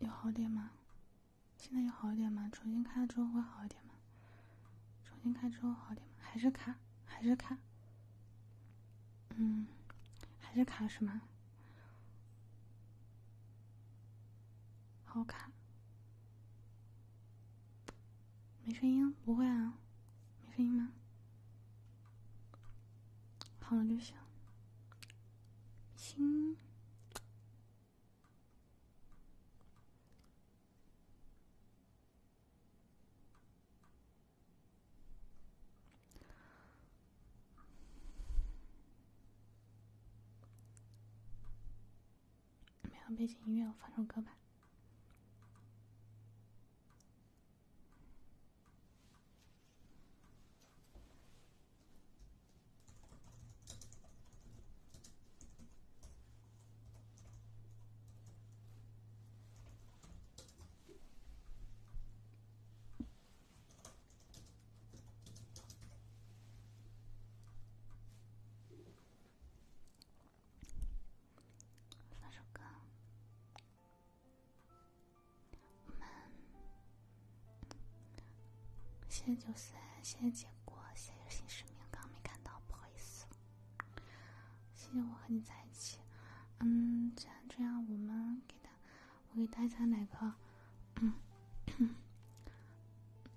有好点吗？现在有好一点吗？重新开了之后会好一点吗？重新开之后好点吗？还是卡？还是卡？嗯，还是卡是吗？好卡，没声音，不会啊，没声音吗？好了就行，行。没有背景音乐，我放首歌吧。放首歌。我们谢谢九三，谢谢杰哥，谢谢新世明，刚刚没看到，不好意思。谢谢我和你在一起。嗯，既然这样，我们给他。我给大家来个，嗯，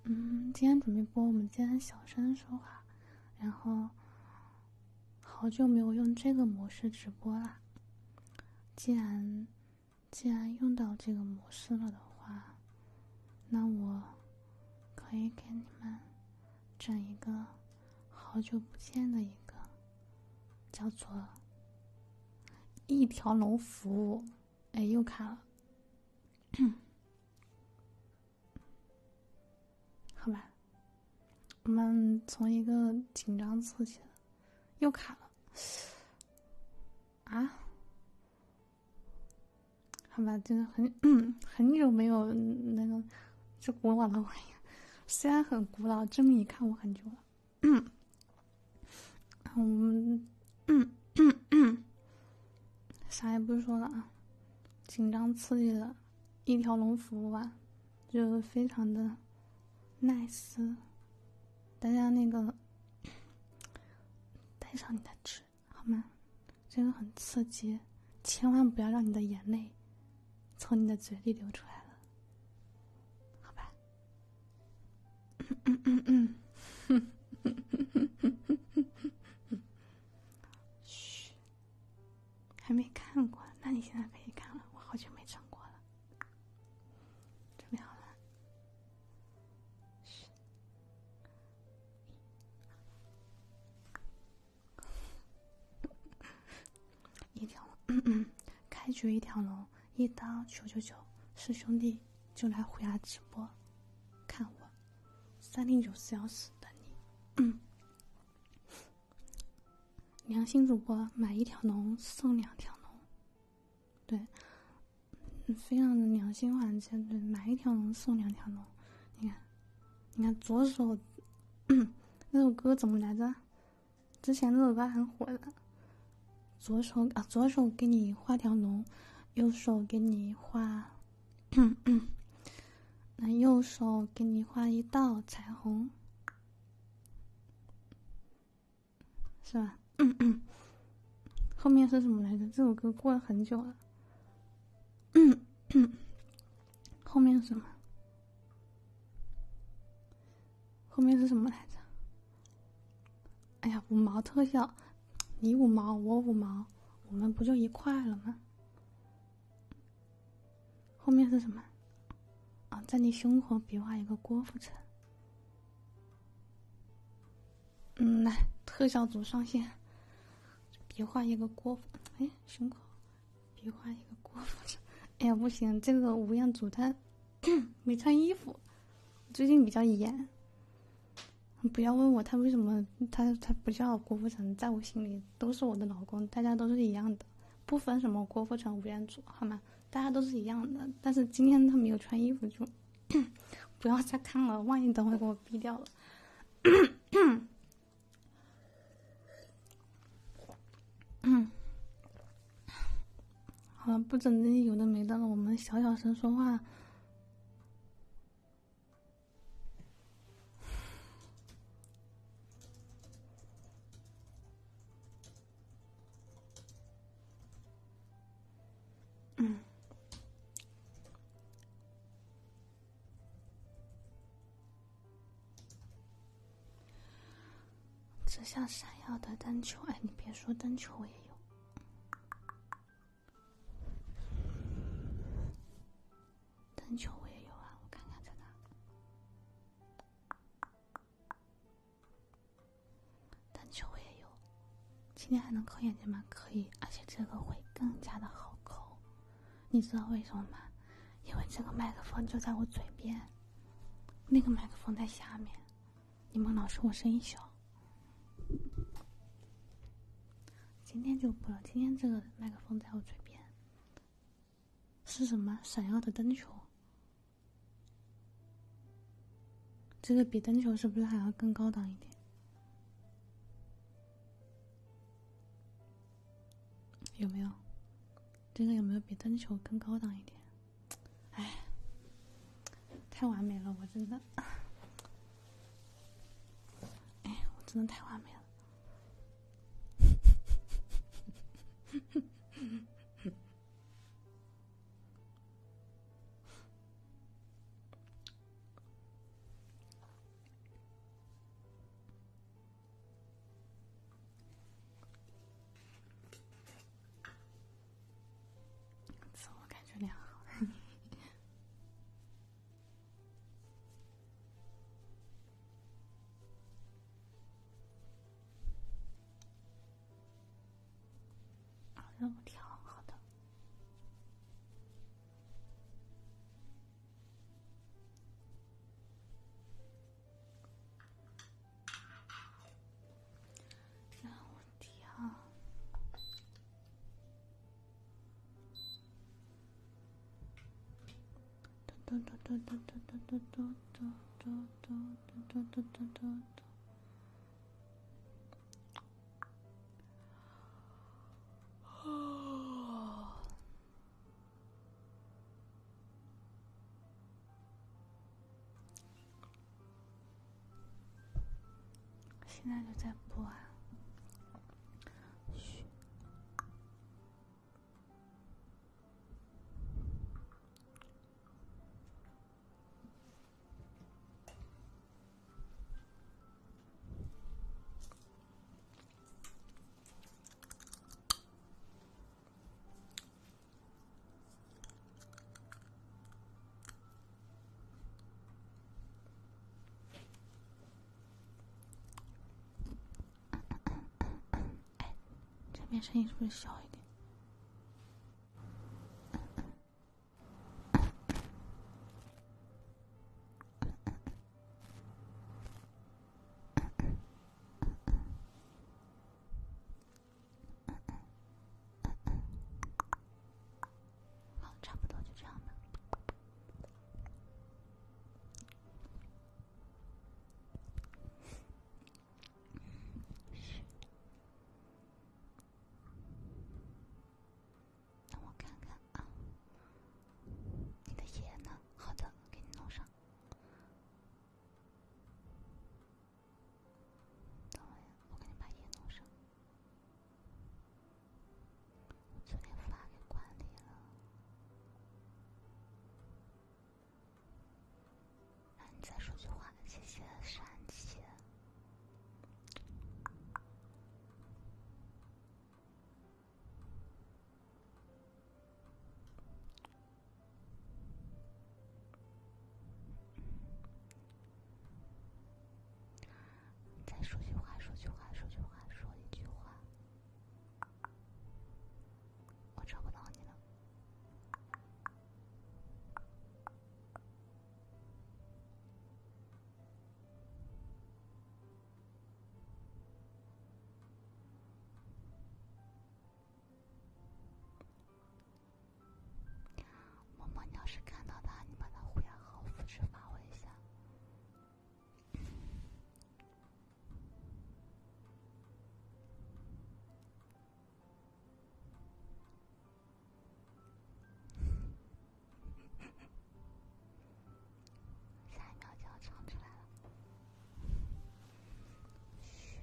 嗯，今天准备播，我们今天小声说话，然后好久没有用这个模式直播了。既然既然用到这个模式了的话，那我可以给你们整一个好久不见的一个。叫做一条龙服务，哎，又卡了。好吧，我们从一个紧张刺激的，又卡了。啊，好吧，真的很 很久没有那个这古老的玩意，虽然很古老，这么一看我很久了。嗯，我们嗯嗯啥也不说了啊，紧张刺激的一条龙服务吧，就非常的 nice。大家那个带上你的纸好吗？真的很刺激，千万不要让你的眼泪从你的嘴里流出来了，好吧？嘘，还没看过，那你现在可以看了。我好久没唱过了，准备好了？嘘。一条龙，开局一条龙，一刀九九九，是兄弟就来虎牙直播，看我，三零九四幺四等你。良心主播买一条龙送两条龙，对，非常的良心环节，对，买一条龙送两条龙。你看，你看左手那首歌怎么来着？之前那首歌很火的，左手啊，左手给你画条龙，右手给你画，那右手给你画一道彩虹，是吧？后面是什么来着？这首歌过了很久了，后面什么？后面是什么来着？哎呀，五毛特效，你五毛，我五毛，我们不就一块了吗？后面是什么？啊，在你胸口比划一个郭富城。嗯，来，特效组上线，比划一个郭。哎，胸口比划一个郭富城。哎呀，不行，这个吴彦祖他。没穿衣服，最近比较严。不要问我他为什么他他不叫郭富城，在我心里都是我的老公，大家都是一样的，不分什么郭富城、吴彦祖，好吗？大家都是一样的。但是今天他没有穿衣服，就 不要再看了，万一等会给我逼掉了。嗯。好了，不整那些有的没的了，我们小小声说话。嗯。这像闪耀的灯球哎！你别说，灯球我也有，灯球我也有啊！我看看在哪，灯球我也有。今天还能抠眼睛吗？可以，而且这个会更加的好抠。你知道为什么吗？因为这个麦克风就在我嘴边，那个麦克风在下面。你们老说我声音小，今天就不了。今天这个麦克风在我嘴边，是什么？闪耀的灯球？这个比灯球是不是还要更高档一点？有没有？这个有没有比灯球更高档一点？哎，太完美了，我真的，哎，我真的太完美了。自我感觉良好，好像挺好那我跳。嘟嘟嘟嘟嘟嘟嘟嘟嘟嘟嘟嘟嘟嘟嘟嘟嘟嘟。哦。现在就在播啊！嘘。哎，这边声音是不是小一点？嗯嗯嗯嗯，好，差不多就这样吧。让我看看啊，你的眼呢？好的，给你弄上。等一下，我赶紧把音弄上。我昨天发给管理了，让你再说句话，谢谢山，谢谢。再说句话，说句话，说句话，说一句话，我找不到你了。萌萌，你要是看到他，你把他会员号复制发我一下。下一秒就要唱出来了。嘘，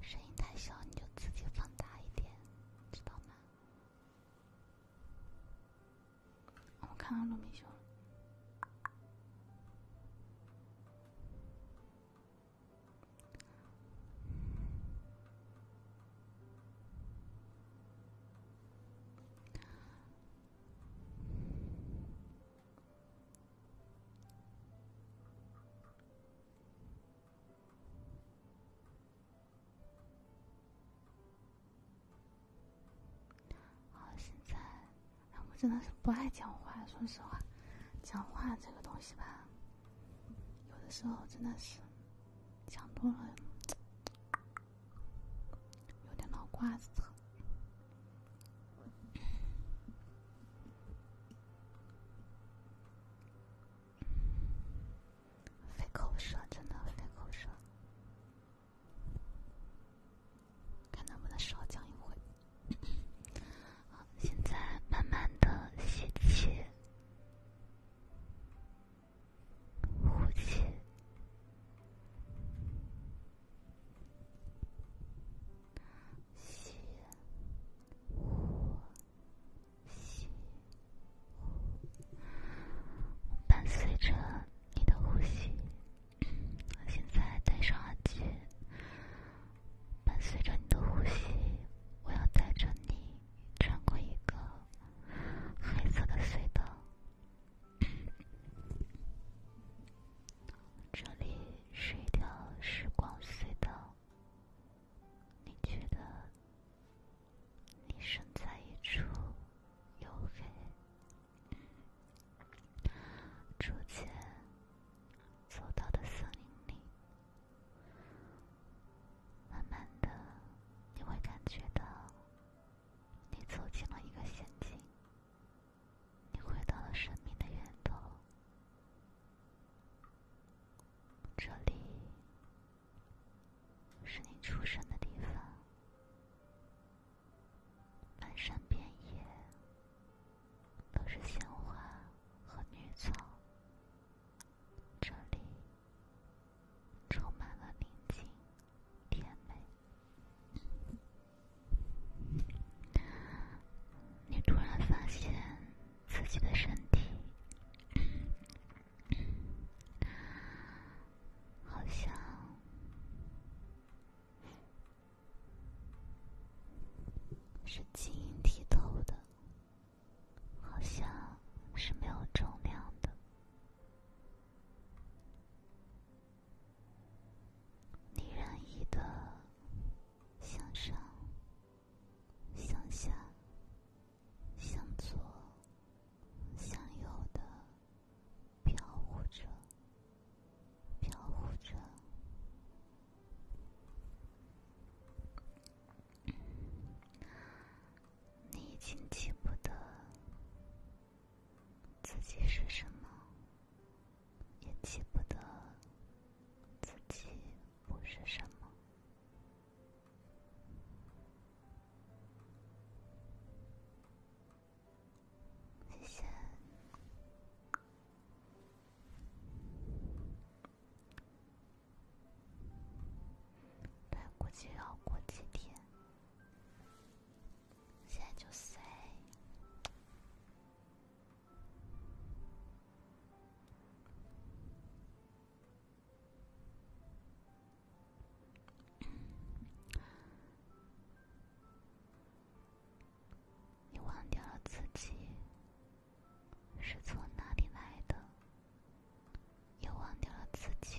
声音太小，你就自己放大一点，知道吗？我看到鹿明修啊，现在，我真的是不爱讲话。说实话，讲话这个东西吧，有的时候真的是讲多了。有点脑瓜子疼，费口舌，真的费口舌。看能不能少讲一会。好，现在慢慢的吸气。呼吸，吸，呼，吸，呼。伴随着你的呼吸，我现在戴上耳机。伴随着你的呼吸，我要带着你穿过一个黑色的隧道。这里是一条时光隧道。你觉得，你身在一处黝黑、逐渐走到的森林里，慢慢的，你会感觉到。你走进了一个仙境，你回到了生命的源头。这里是你出生的地方，满山遍野都是鲜花和绿草。这里。充满了宁静、甜美。你突然发现自己的身体好像，是晶莹剔透的，好像是没有重量的。你任意的向上、向下、向左、向右的飘忽着，飘忽着。你已经记不得自己是什么，也记不得自己不是什么。谢谢。对，估计要过几天。现在就碎。你忘是从哪里来的，也忘掉了自己。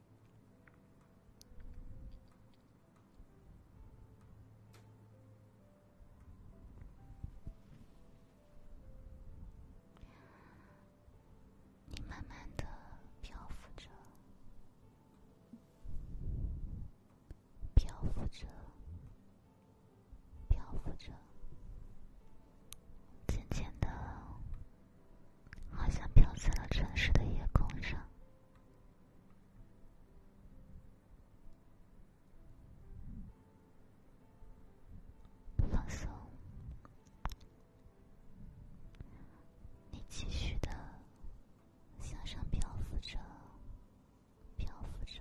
你慢慢的漂浮着，漂浮着，漂浮着，渐渐的，好像飘在了城市的夜空上。放松，你继续的向上漂浮着，漂浮着。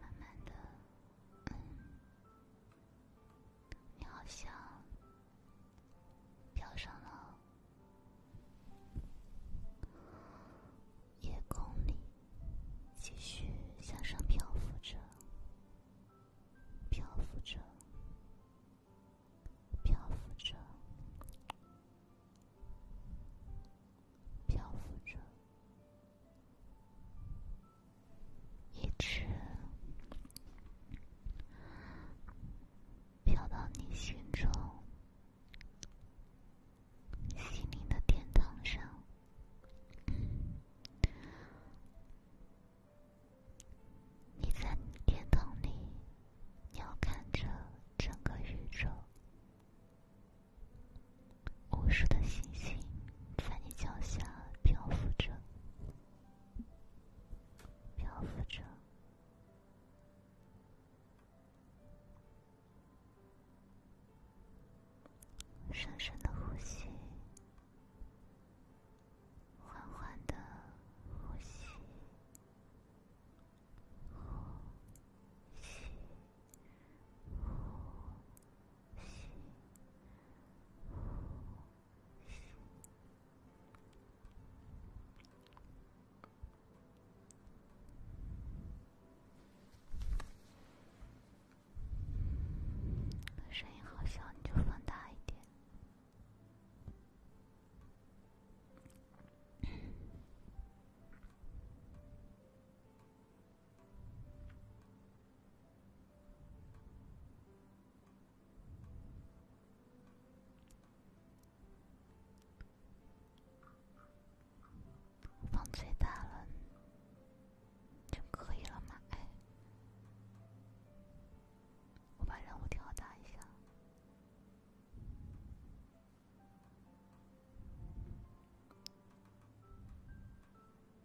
慢慢的，嗯，你好像飘上了夜空里，继续向上漂浮着，漂浮着，漂浮着，漂浮着。一直飘到你心中心灵的殿堂上，你在天堂里鸟瞰着整个宇宙。无数的星星在你脚下漂浮着，漂浮着。深深的呼吸，缓缓的呼吸，呼吸，呼。声音好小，你就放大一点。放最大了，就可以了吗？哎，我把任务调大一下。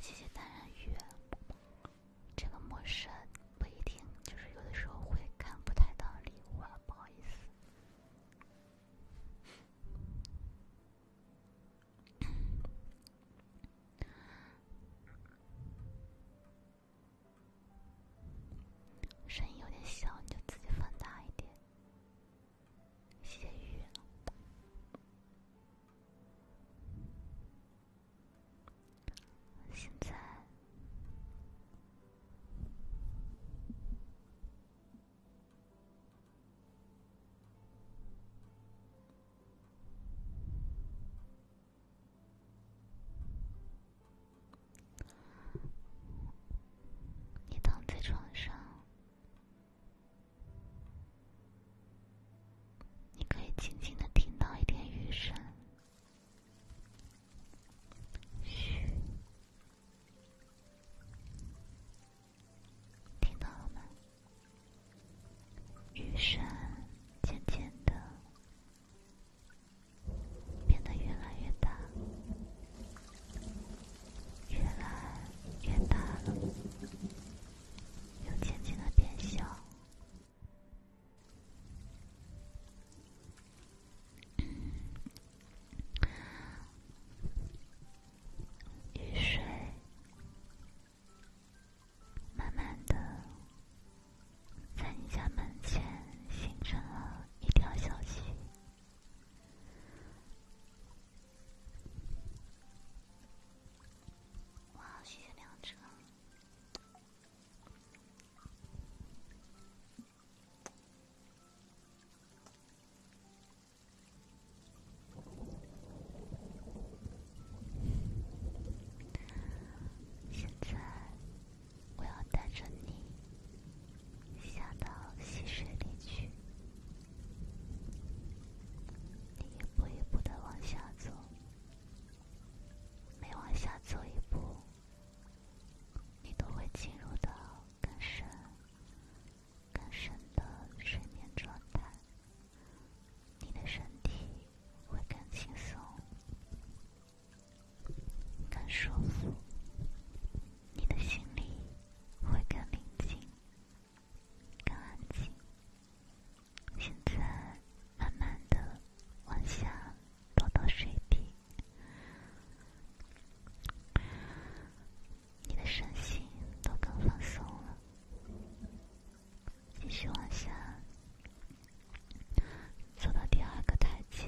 谢谢单人鱼，这个模式不一定，就是有的时候会看不太到礼物，不好意思。声音有点小，你就自己放大一点。谢谢雨。现在。你躺在床上，你可以静静的听到一点雨声，嘘，听到了吗？雨山渐渐的变得越来越大，越来越大了，又渐渐的变小，雨山。慢慢的，在你家门前形成了一条小溪，哇，雪亮车。现在，我要带着你下到溪水里去。你一步一步的往下走，每往下走一步，你都会进入到更深、更深的睡眠状态。你的身体会更轻松、更舒服，你的心里会更宁静、更安静。现在慢慢的往下落到水底，你的身心都更放松了。继续往下，走到第二个台阶，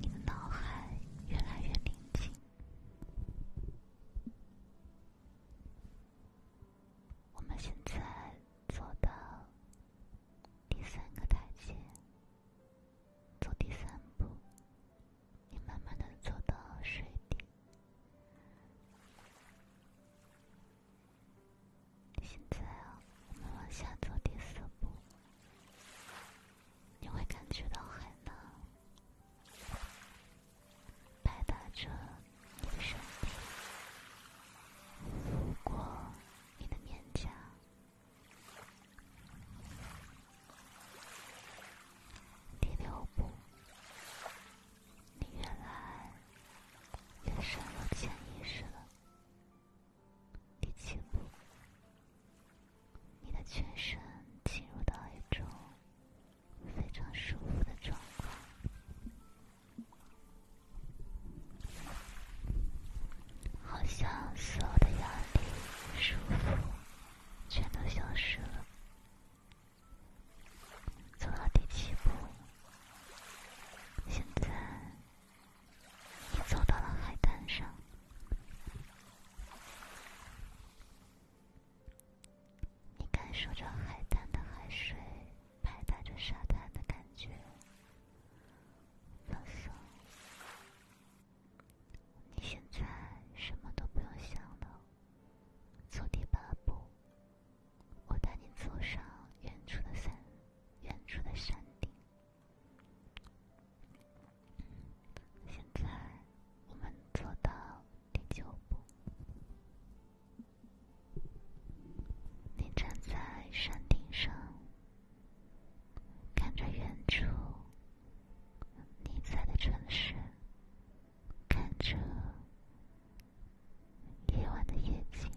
你的脑海越来越宁静。我们现在走到第三个台阶，走第三步，你慢慢的走到水底。现在我们往下走第四步，你会感觉到海浪拍打着你的身体，拂过你的面颊。第六步。你原来也深入潜意识了，第七步，你的全身进入到一种非常舒服的状况，好像所有的压力、束缚全都消失了。走到第七步，现在你走到了海滩上，你感受着海滩的海水拍打着沙滩的感觉，放松。你现在什么都不用想了，走第八步。我带你走上远处的山，远处的山顶。现在我们走到第九步。你站在山顶上，看着远处你在的城市，看着。夜晚的夜景，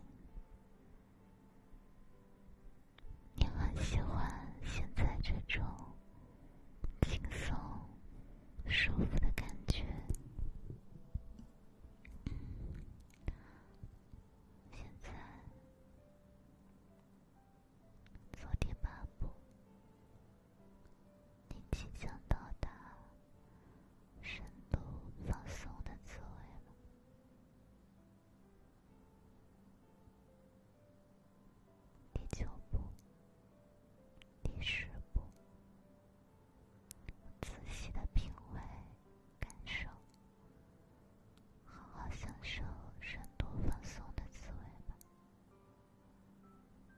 你很喜欢现在这种轻松、舒服的感觉。现在做第八步。你即将到达深度放松的滋味了。第九步，第十步，仔细的品味、感受，好好享受深度放松的滋味吧。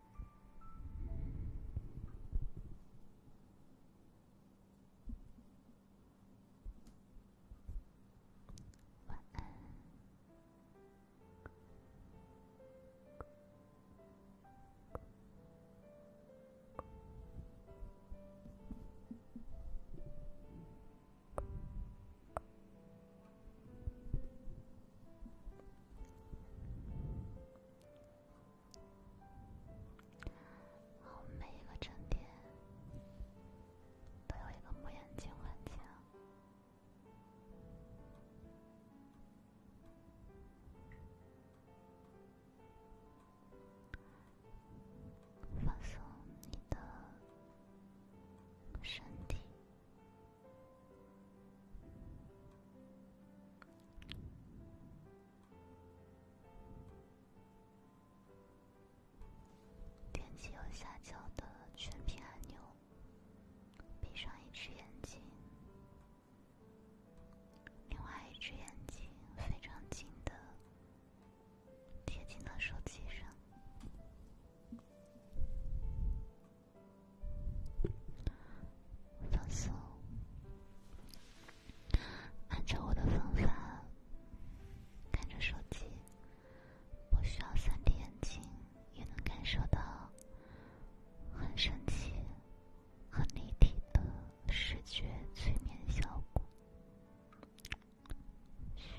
晚安。好，每一个站点都有一个木眼镜环境，放松你的身体。点击右下角的全屏按钮，闭上一只眼睛，另外一只眼睛非常近的贴近到手机上。放松，按照我的方法，看着手机，不需要 3D 眼镜也能感受到很神奇、很立体的视觉催眠效果。嘘。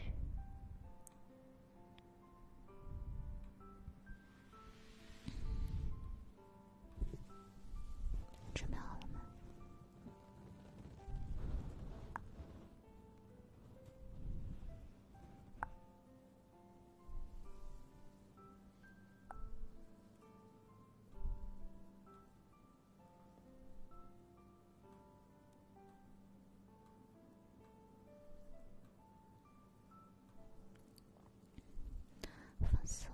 准备好了吗？放松，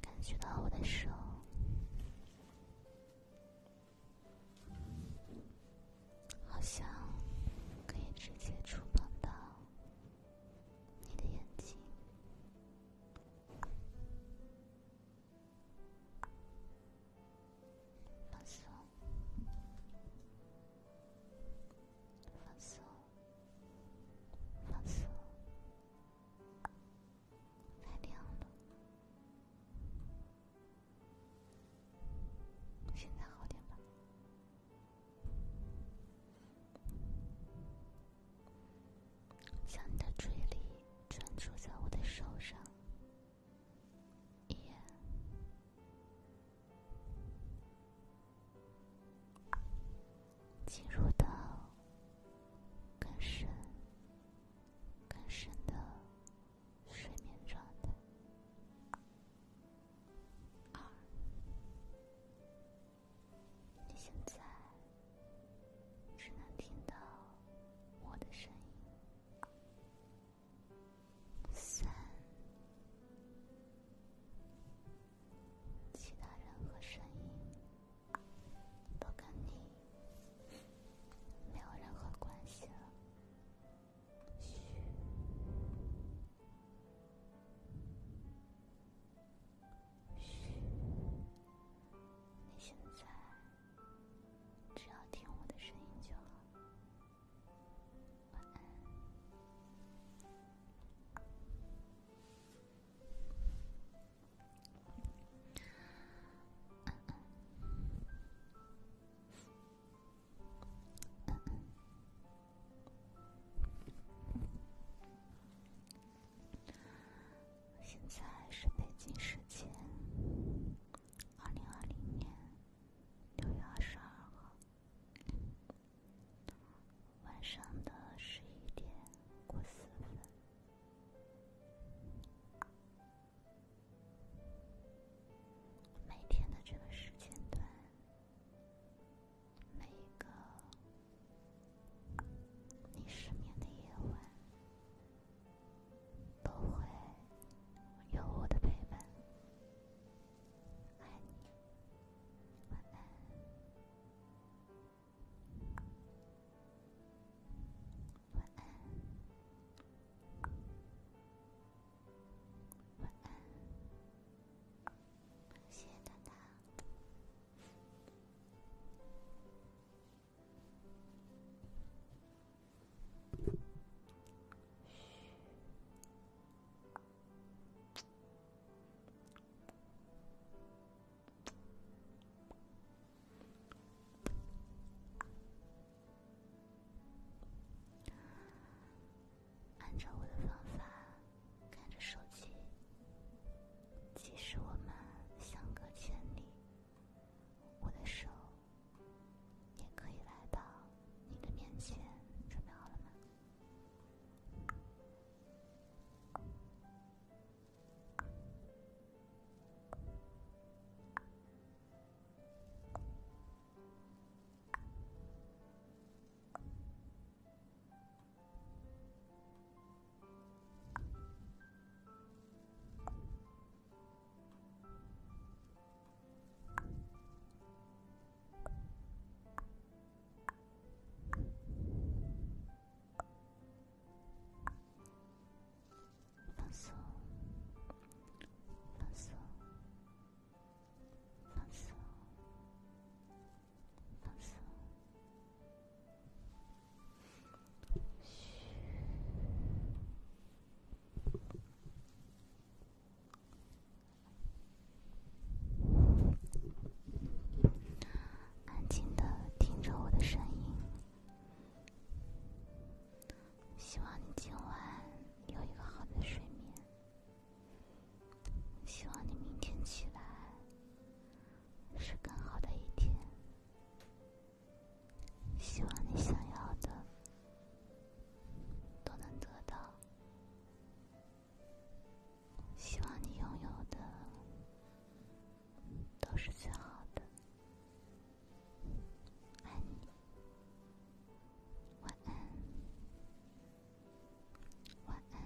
感觉到我的手，好像可以直接触碰到你的眼睛。放松，放松，放松，太亮了。现在好点吧？想你的注意力专注在我的手上。一，进入到更深、更深的睡眠状态。二，你现在只能听到我的声音。三，其他任何声音都跟你没有任何关系了。嘘，嘘，你现在只要听我的声音就好。现在是北京时间二零二零年。六月二十二号晚上的十一点过四分，每天的这个时间段，每一个你失眠的夜晚。都会有我的陪伴。爱你，晚安，晚安，晚安，谢谢大家。按照我的方法，看着手机，即使我们相隔千里，我的手。也可以来到你的面前，准备好了吗？放松，放松，放松，放松。嘘。安静的听着我的声音，希望你今晚有一个好的睡眠。希望你明天起来是更好的一天。希望你想要的都能得到，希望你拥有的都是最好的。爱你，晚安，晚安，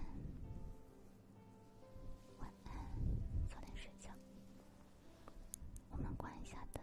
晚安，早点睡觉。我们关一下灯。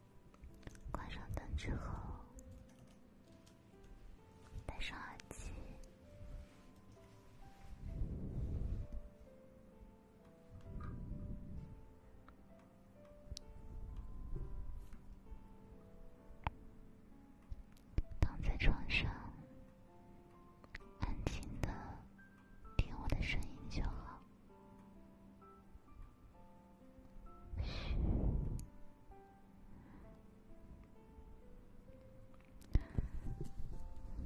关上灯之后，戴上耳机，躺在床上，安静的听我的声音就好。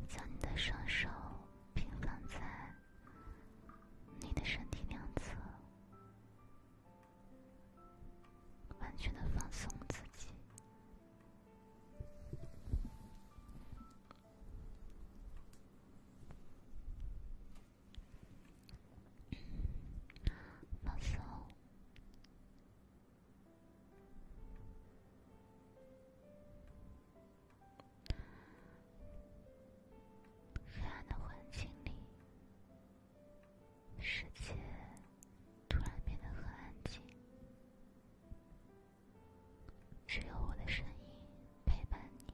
将你的双手平放在你的身体两侧，完全的放松自己。放松。黑暗的环境里，世界突然变得很安静，只有我的声音陪伴你。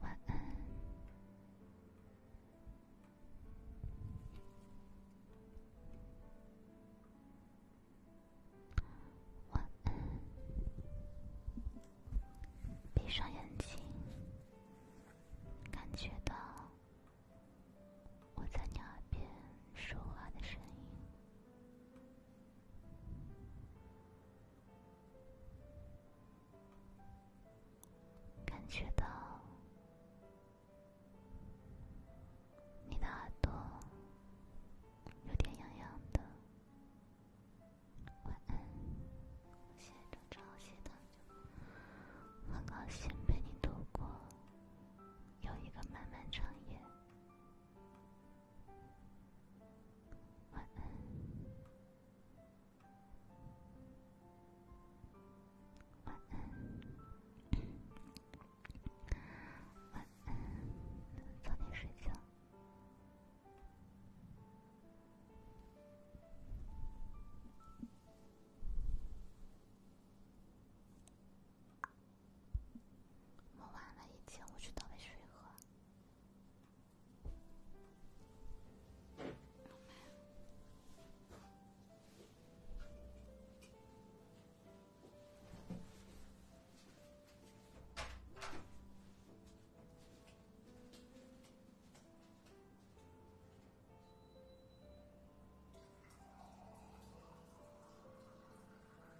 晚安，晚安。闭上眼睛，感觉到我在你耳边说话的声音。感觉到你的耳朵有点痒痒的，晚安！现在正朝西的，很高兴陪你度过有一个漫漫长夜。晚安，晚安，晚安，早点睡觉。我完了，已经，我去倒杯水喝。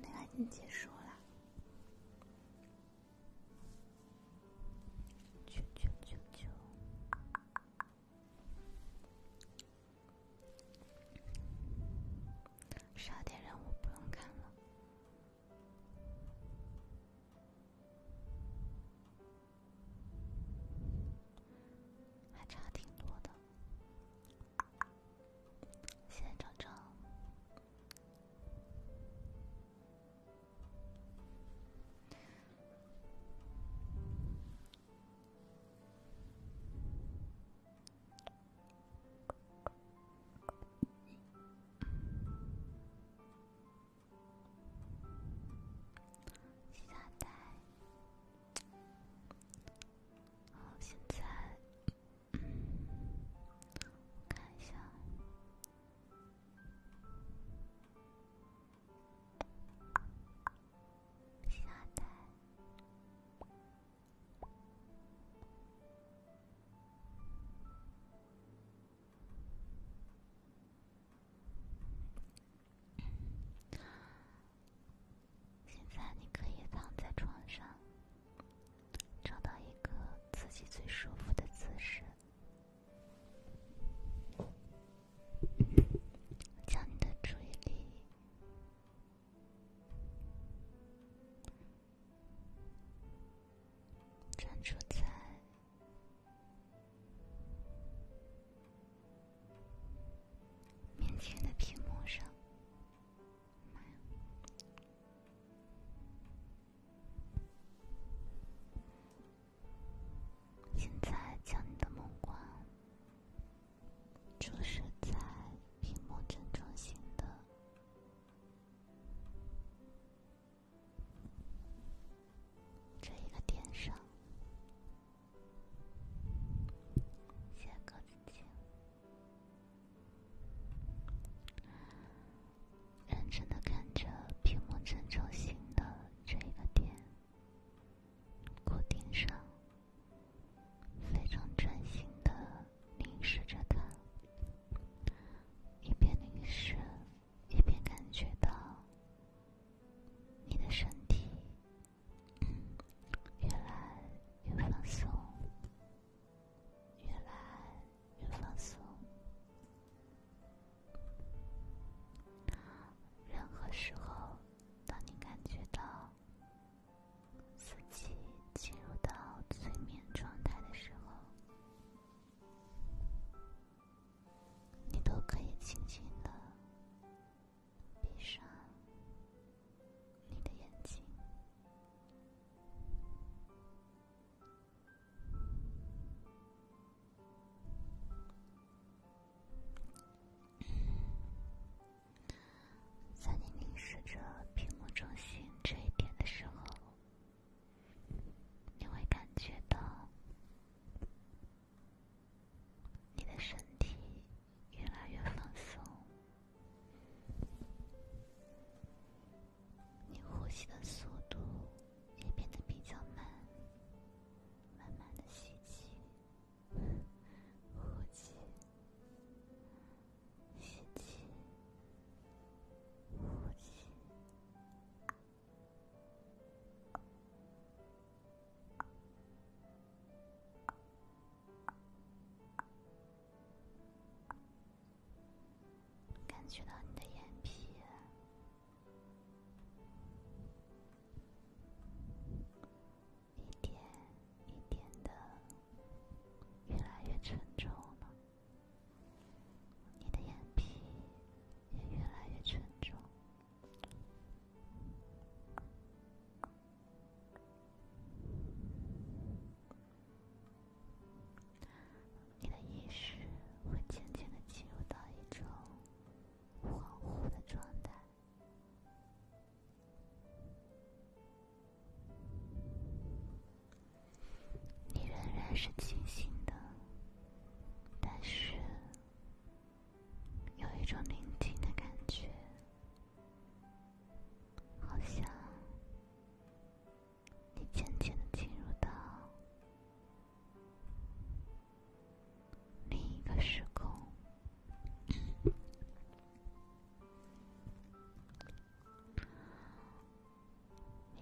那个已经结束了，啾啾啾啾，十二点任务不用看了。还差挺多的，现在涨涨，期待。好，现在看一下下单。现在你可以躺在床上，找到一个自己最舒服的姿势，将你的注意力专注在。面前的屏幕上。现在将你的目光注视在屏幕正中心的这一个点上。谢公子，请。认真的看着屏幕正中心的这一个点，固定上，非常专心的凝视着它，一边凝视，一边感觉到你的身体。越来越放松，越来越放松。任何时候，当你感觉到自己进入到催眠状态的时候，你都可以轻轻的。闭上你的眼睛，在你凝视着屏幕中心这一点的时候，你会感觉到。你的身体越来越放松，你呼吸的速度也变得比较慢，慢慢的吸气，呼气，吸气，呼气。感觉到你的眼皮一点一点的越来越沉重了，你的眼皮也越来越沉重。你的意识会渐渐的进入到一种恍惚的状态，你仍然是清醒的，但是。有一种宁静的感觉，好像你渐渐的进入到另一个时空，你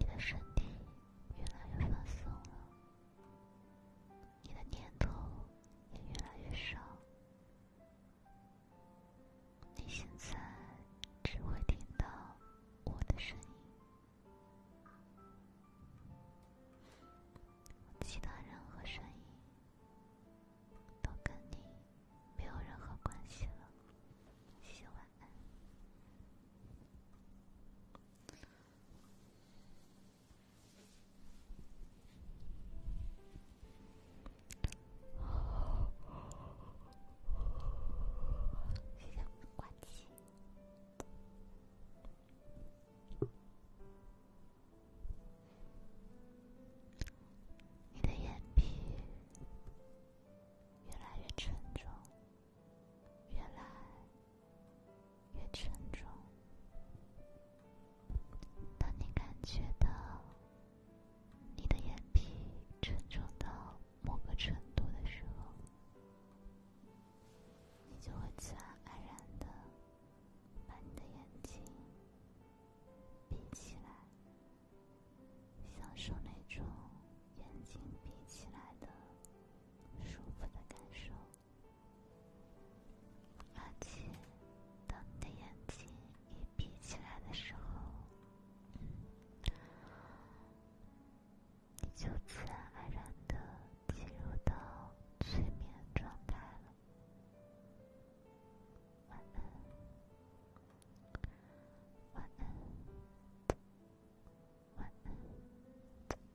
的身体越来越放松了。你的念头也越来越少，你现在只会听到我的声音，其他任何声音都跟你没有任何关系了。祝你晚安。谢谢，关机。你的眼皮越来越沉重，越来。越沉重。当你感觉到你的眼皮沉重到某个程度的时候，你就会自然而然的把你的眼睛闭起来，享受那种眼睛闭起来的舒服的感受。而且，当你的眼睛一闭起来的时候，你就自然安然的进入到催眠状态了。晚安，晚安，晚安。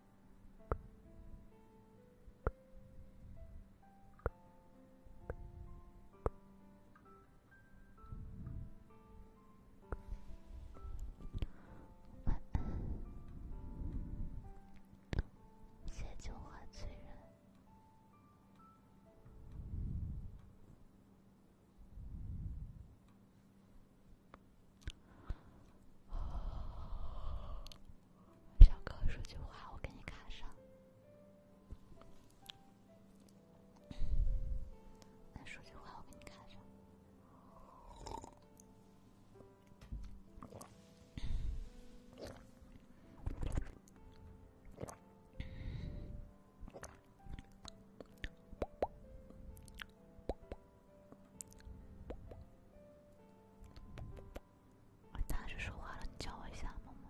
晚安，借酒话醉人。表哥，说句话，我给你卡上。说句话，我给你卡上。他是说话了，你叫我一下，萌萌。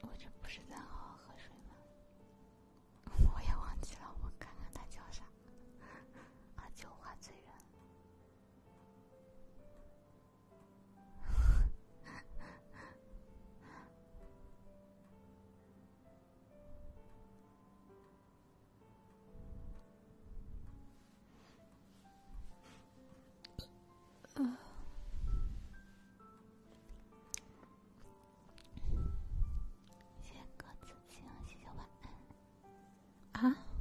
我这不是在好好喝水吗？我也忘记了，我看它叫啥？啊，叫花资源。啊！谢谢鸽子，行，谢谢晚安。